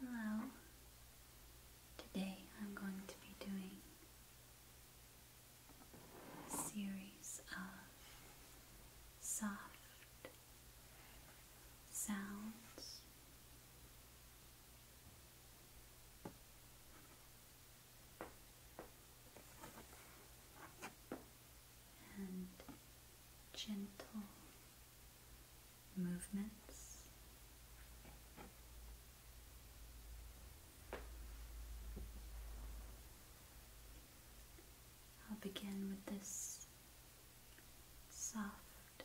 Hello. Today I'm going to be doing a series of soft sounds and gentle movements. I'll begin with this soft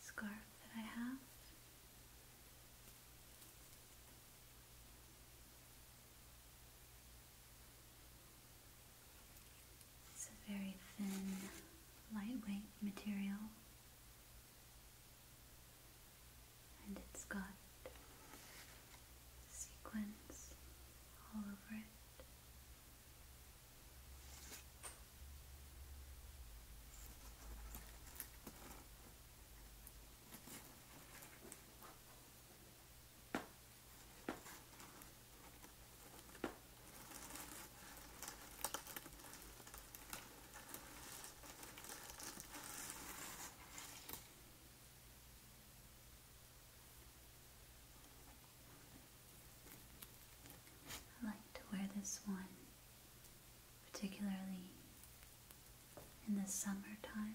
scarf that I have. It's a very thin, lightweight material, and it's got sequins all over it. I like to wear this one particularly in the summertime.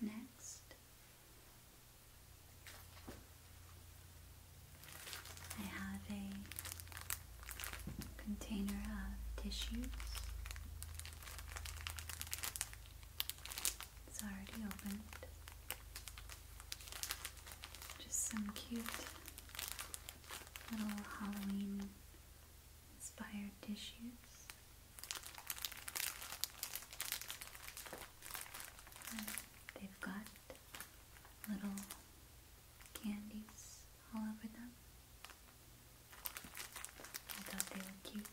Next, I have a container of tissues. It's already opened. Just some cute little Halloween inspired tissues. And they've got little candies all over them. I thought they were cute.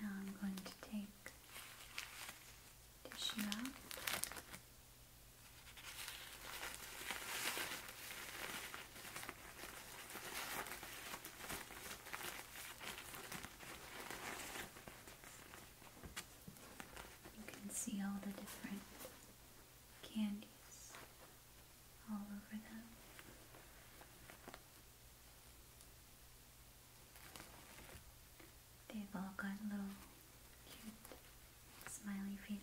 Now I'm going to take tissue out. You can see all the different candies all over them. They've all got little cute smiley faces.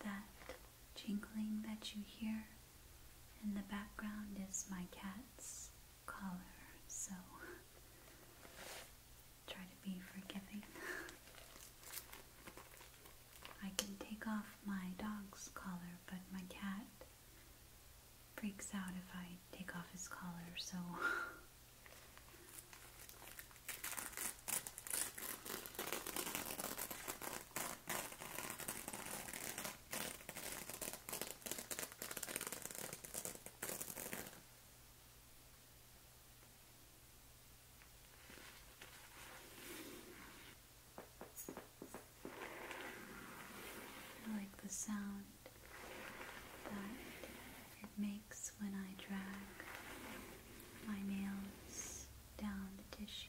That jingling that you hear in the background is my cat's collar, so try to be forgiving. I can take off my dog's collar, but my cat freaks out if I take off his collar, so. I like the sound that it makes when I drag my nails down the tissue.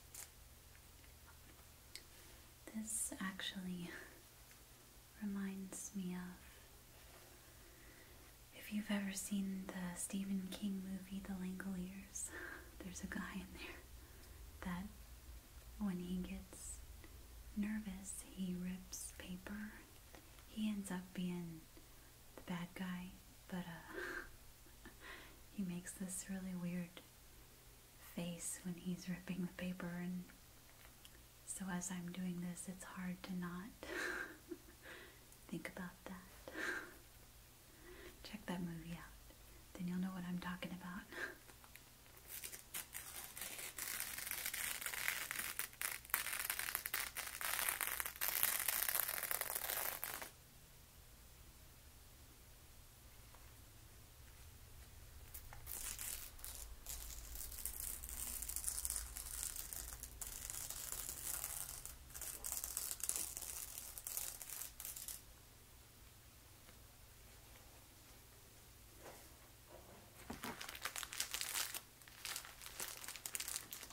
This actually reminds me of if you've ever seen the Stephen King movie The Langoliers, there's a guy in there that when he gets nervous, he rips paper. He ends up being the bad guy, but uh he makes this really weird face when he's ripping the paper and so as I'm doing this it's hard to not think about that. Check that movie out. Then you'll know what I'm talking about.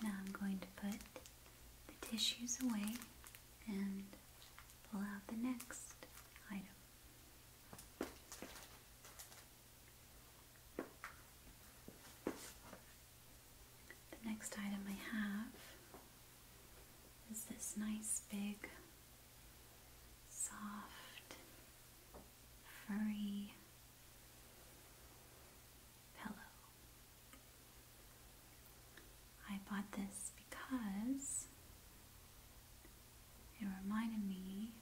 Now I'm going to put the tissues away and pull out the next item. The next item I have is this nice big, soft, furry pillow. I bought this because it reminded me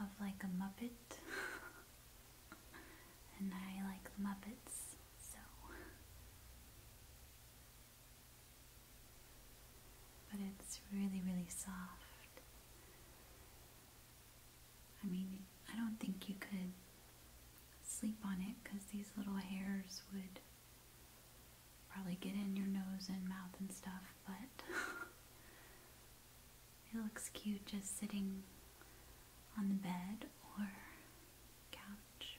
of like a Muppet, and I like Muppets, so. But it's really, really soft. I mean, I don't think you could sleep on it because these little hairs would probably get in your nose and mouth and stuff, but it looks cute just sitting on the bed or couch.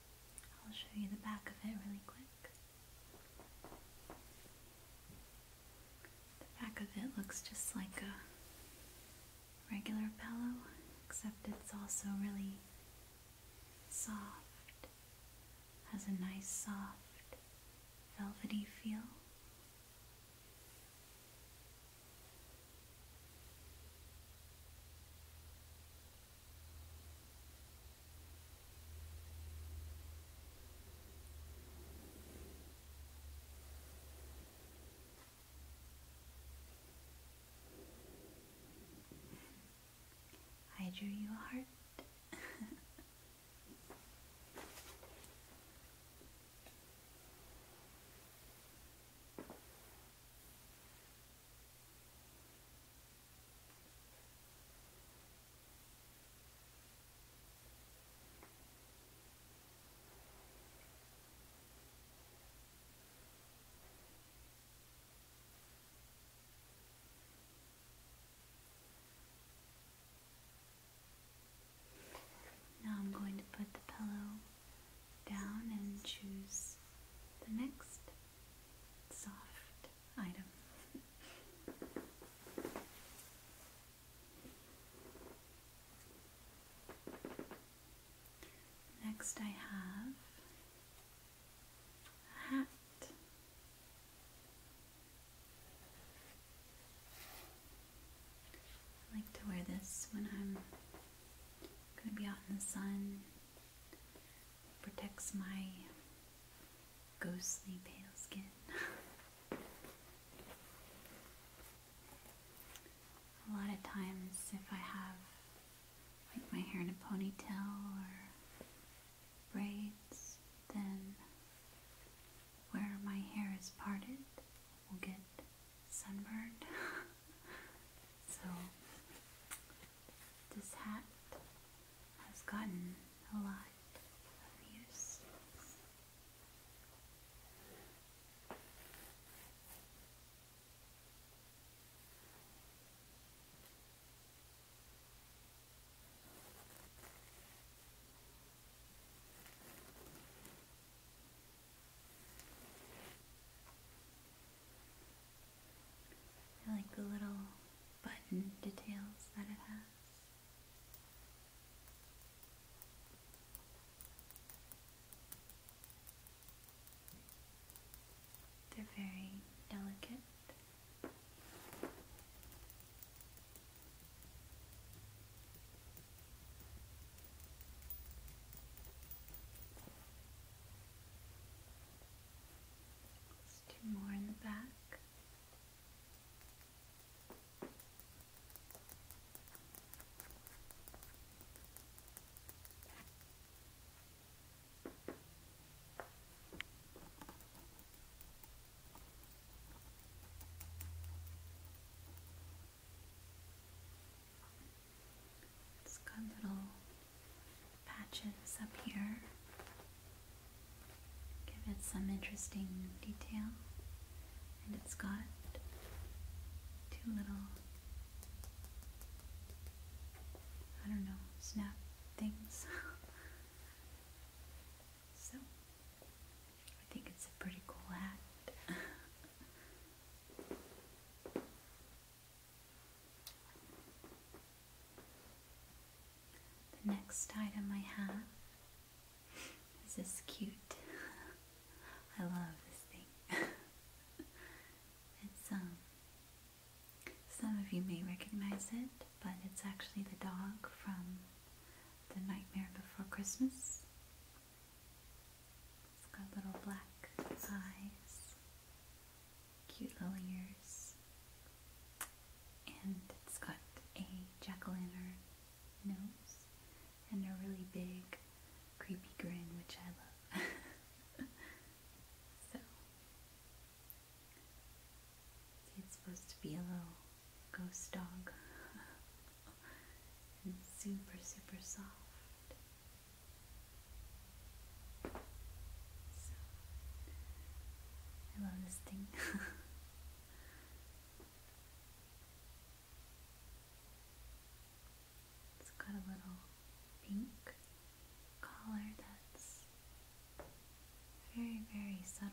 I'll show you the back of it really quick. The back of it looks just like a regular pillow, except it's also really soft, has a nice soft velvety feel. I drew you a heart. Now I'm going to put the pillow down and choose the next soft item. Next, I have a hat. I like to wear this when I'm Gonna be out in the sun. Protects my ghostly pale skin. a lot of times, if I have like my hair in a ponytail or braids, then where my hair is parted will get sunburned. so this hat has gotten a lot of use. I like the little button details that it has. They're very delicate. Two more in the back. It's got little patches up here. Give it some interesting detail. And it's got two little, I don't know, snap things. so, I think it's a pretty cool hat. The next item I have is this cute. I love this thing. it's um some of you may recognize it, but it's actually the dog from The Nightmare Before Christmas. It's got little black eyes, cute little ears, and it's got a jack-o'-lantern nose and a really big, creepy grin, which I love. so, it's supposed to be a little ghost dog. and super, super soft. I love this thing. it's got a little pink collar that's very, very subtle.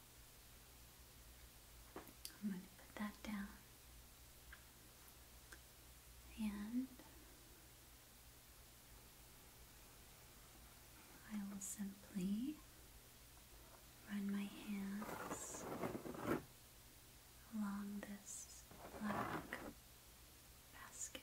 I'm going to put that down. And I will simply run my hands along this black basket.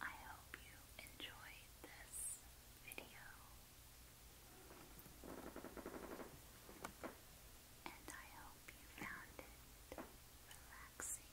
I hope you enjoyed this video, and I hope you found it relaxing